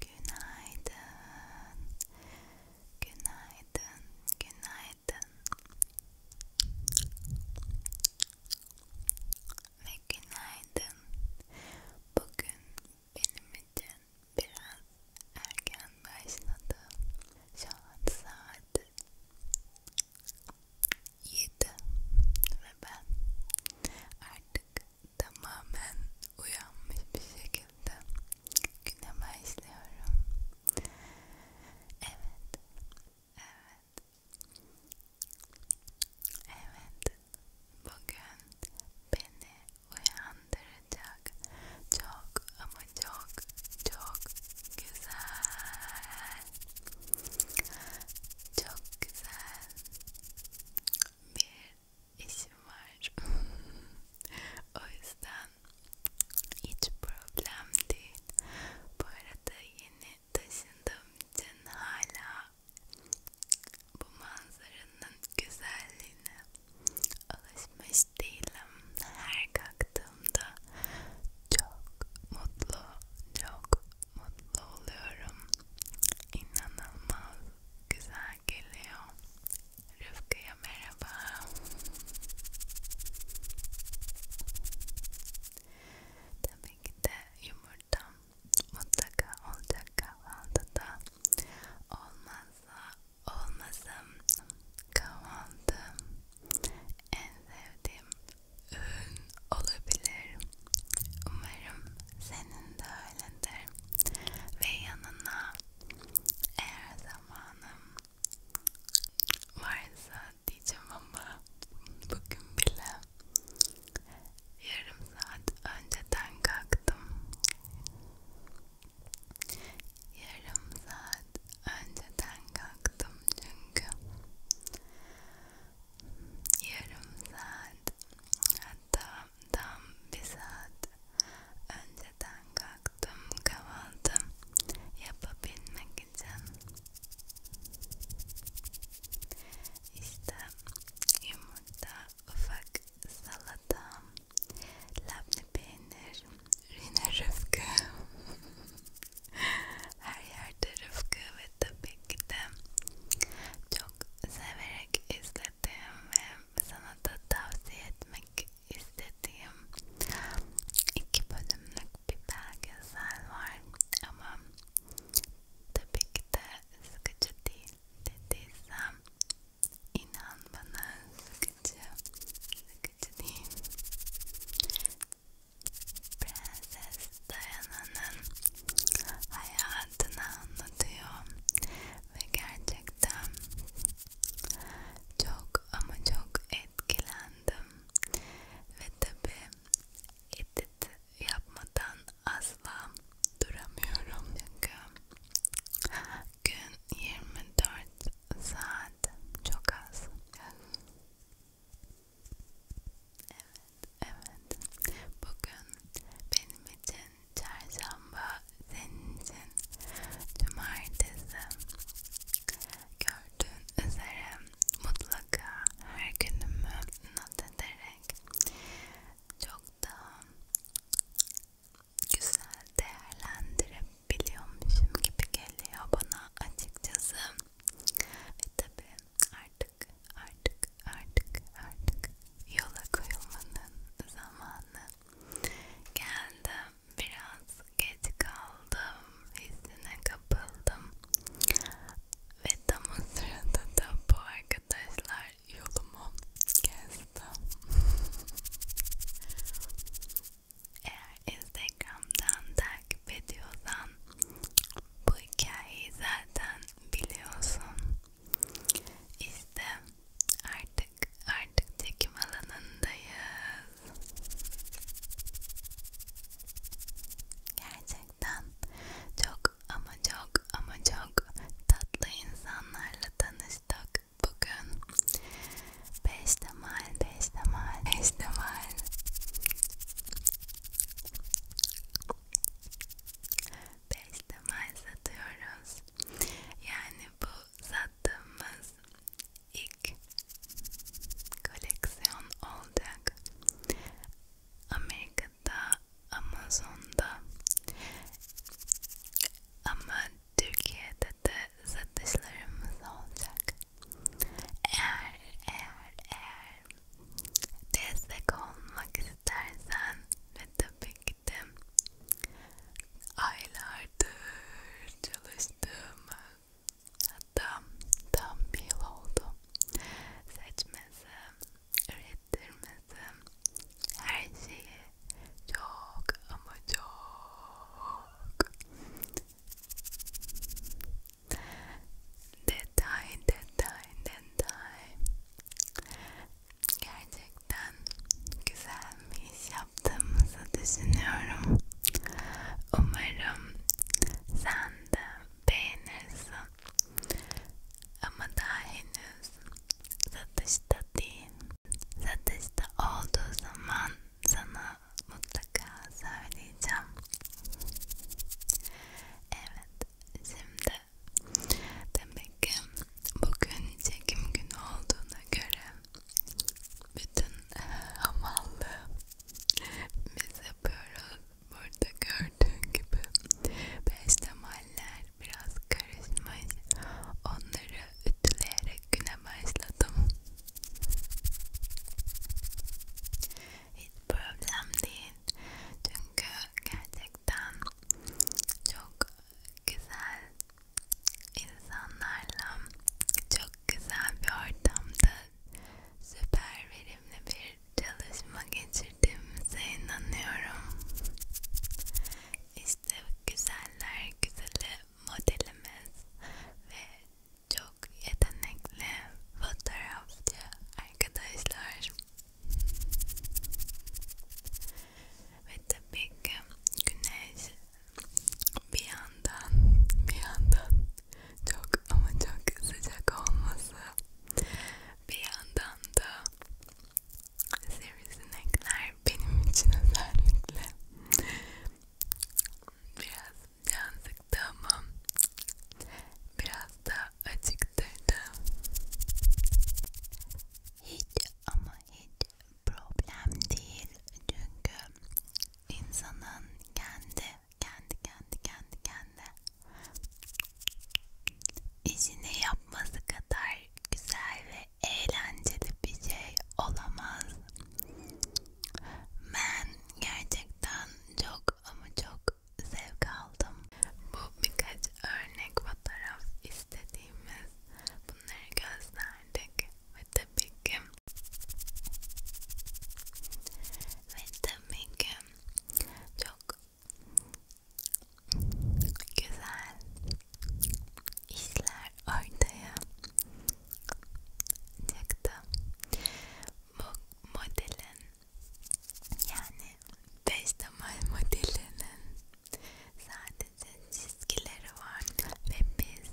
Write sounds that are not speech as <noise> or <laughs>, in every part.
Günaydın. Günaydın. Günaydın. Ve günaydın. Bugün benim için biraz erken başladı. Şu an saat 7 ve ben artık tamamen uyanmış bir şekilde güne başlıyorum. Evet, evet, evet. Bugün beni uyandıracak çok ama çok çok güzel, çok güzel bir işim var. <laughs> o yüzden hiç problem değil. Bu arada yeni taşındığım için hala bu manzaranın güzelliğine alışmış değilim. Her kalktığımda çok mutlu, çok mutlu oluyorum. İnanılmaz güzel Rüzgar geliyor. Rıfkı'ya merhaba. Tabii ki de yumurta mutlaka olacak kahvaltıda. Olmazsa olmazım kahvaltı en sevdiğim ürün olabilir. Umarım senin de öyle önemlidir ve yanına eğer zamanım varsa diyeceğim ama bugün bile yarım saat önceden kalktım yarım saat önceden kalktım çünkü yarım saat tam tam bir saat önceden kalktım kahvaltı yapabilmek için işte yumurta ufak salata labne peynir yine rıfkı <laughs> her yerde rıfkı ve tabii ki de çok severek izlediğim ve sana da tavsiye etmek istediğim iki bölümlük bir belgesel var ama tabii ki de sıkıcı değil dediysem inan bana sıkıcı sıkıcı değil Prenses Diana'nın hayal hayatını anlatıyor ve gerçekten çok ama çok etkilendim ve tabi edit yapmadan asla duramıyorum çünkü gün 24 saat çok az Evet, evet. Bugün benim için çarşamba senin için, cumartesi gördüğün üzere mutlaka her günümü not ederek çok daha güzel değerlendirebiliyormuşum gibi geliyor bana açıkçası ve tabi artık artık artık artık yola koyulmanın zamanı geldi. Biraz geç kaldım, hissine kapıldım ve tam o sırada da bu arkadaşlar yolumu kesti. Eğer Instagram'dan takip ediyorsan bu hikayeyi zaten biliyorsun. İşte artık artık çekim alanındayız. Gerçekten çok ama çok ama çok tatlı insanlarla tanıştık bugün. Beştemal, beştemal, beştemal. Beştemal satıyoruz. Yani bu sattığımız ilk koleksiyon olacak. Amerika'da, Amazon'da ama Türkiye'de de satışlarımız olacak. Eğer, eğer, eğer destek olmak istersen ve tabii ki de aylardır çalıştığım hatta tam bir yıl oldu seçmesi, ürettirmesi her şeyi çok ama çok detay detay detay Gerçekten güzel bir iş yaptığımızı düşünüyorum. Umarım sen de beğenirsin. Ama daha henüz satışta değil. Satışta olduğu zaman sana mutlaka söyleyeceğim. Evet, şimdi Demek ki bugün çekim günü olduğuna göre bütün e, hamallı biz yapıyoruz. Burada gördüğün gibi peştemaller biraz karışmış. Onları ütüleyerek güne başladım. Hiç problem değil. Çünkü gerçekten çok güzel insanlarla çok güzel bir ortamda süper verimli bir çalışma geçirdiğimize inanıyorum. İşte güzeller güzeli modelimiz ve çok yetenekli fotoğrafçı arkadaşlar ve tabii ki güneş bir yandan bir yandan çok ama çok sıcak olması bir yandan da sivrisinekler benim için özellikle biraz can sıktı ama biraz da acıktırdı hiç ama hiç problem değil çünkü insanın kendi kendi kendi kendi kendi işini yapması kadar güzel ve eğlenceli bir şey olamaz. Ben gerçekten çok ama çok zevk aldım. Bu birkaç örnek fotoğraf istediğimiz bunları gösterdik ve tabii ki ve tabii ki çok güzel işler ortaya çıktı bu modelin yani 5 model modelinin Sadece çizgileri var ve biz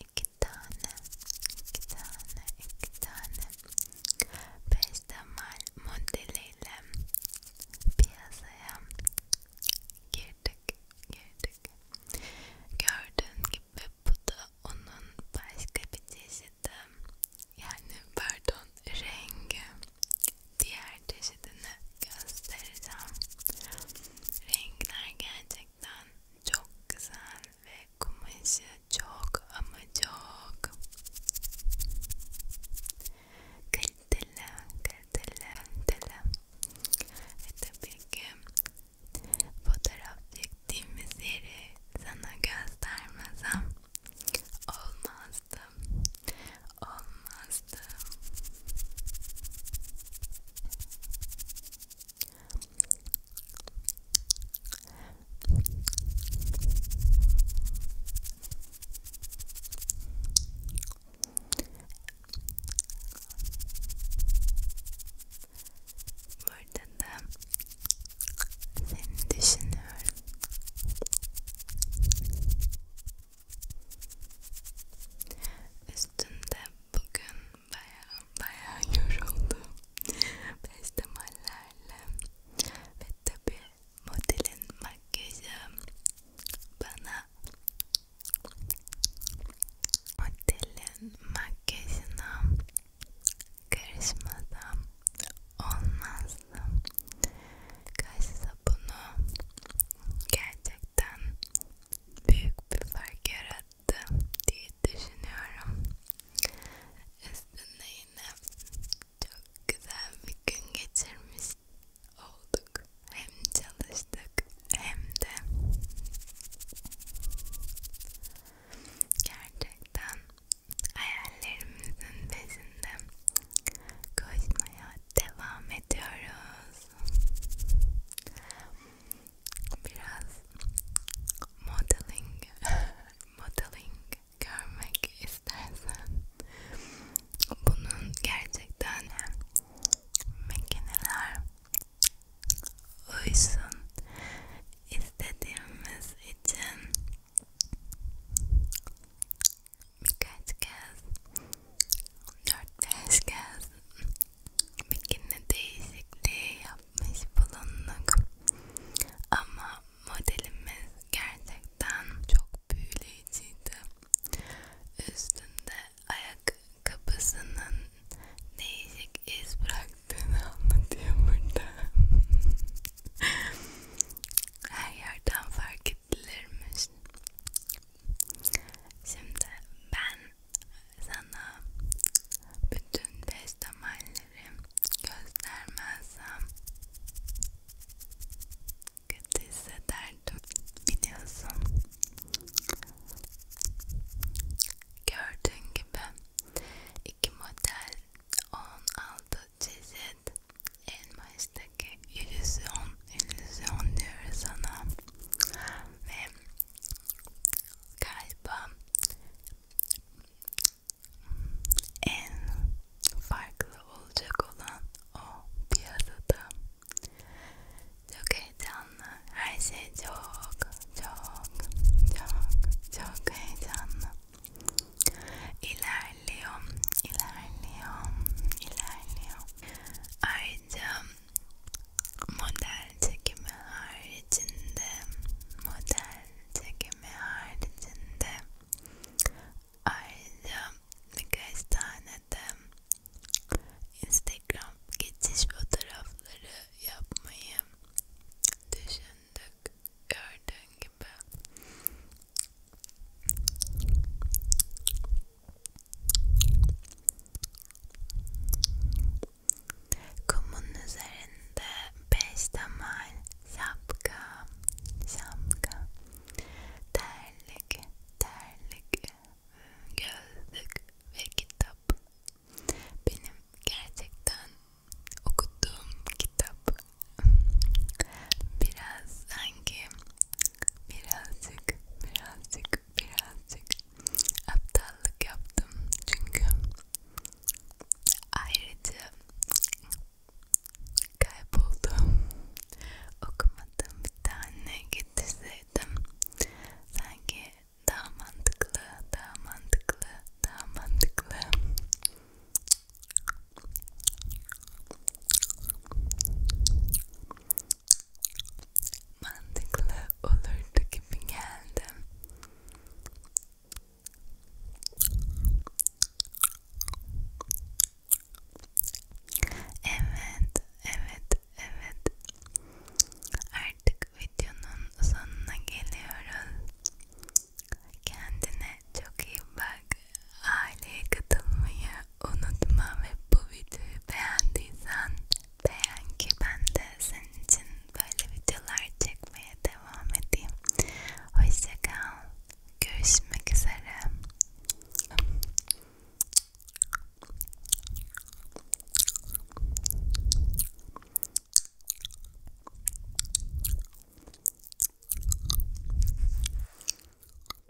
iki tane, iki tane, iki tane peştemal modeliyle piyasaya girdik, girdik. Gördüğün gibi bu da onun başka bir çeşidi yani pardon rengi diğer çeşidini göstereceğim. Renkler gerçekten çok güzel ve kumaşı çok ama çok kaliteli, kaliteli, kaliteli. Ve tabii ki fotoğraf çektiğimiz yeri sana göstermezsem olmazdı olmazdı olmazdı Burada da seni düşünüyorum Üstümde bugün baya baya <laughs> yoruldum. Festivallerle ve tabi modelin makyajı bana modelin makyajına karışmadan olmaz karşısına karşısına bunu gerçekten büyük bir fark yarattı diye düşünüyorum. Üstünde yine çok güzel bir gün geçirmiş olduk. Hem çalıştık hem de gerçekten hayallerimizin peşinde koşmaya devam ediyoruz. Biraz modeling, <laughs> modeling görmek istersen bunun gerçekten makineler uysun istediğimiz için birkaç kez, dört beş kez bikini değişikliği yapmış bulunduk. Ama modelimiz gerçekten çok büyüleyiciydi. Üstünde ayak kapısının değişik iz bıraktığını anlatıyor burada. Her yerden fark olabilirmiş. Şimdi ben sana bütün beş damarları göstermezsem kötü hissederdim biliyorsun. Gördüğün gibi iki model 16 çeşit elma işte Peki illüzyon, illüzyon diyoruz sana ve galiba en farklı olacak olan o piyasada çok heyecanlı, her şey çok çok çok çok heyecanlı. İler ilerliyor, ilerliyor, ilerliyor. Ayrıca model çekimi haricinde, model çekimi haricinde ayrıca birkaç tane de Instagram geçiş fotoğrafları yapmayı düşündük gördüğün gibi Kumun üzerinde beş temel şapka, şapka, terlik, terlik, gözlük ve kitap. Benim gerçekten okuduğum kitap biraz sanki birazcık birazcık birazcık aptallık yaptım çünkü ayrıca kayboldum okumadım bir tane getirseydim sanki daha mantıklı daha mantıklı daha mantıklı Mantıklı olurdu gibi geldi. Evet, evet, evet. Artık videonun sonuna geliyoruz. Kendine çok iyi bak. Aileye katılmayı unutma ve bu videoyu beğendiysen beğen ki ben de senin için böyle videolar çekmeye devam edeyim. Hoşçakal. Görüşmek üzere.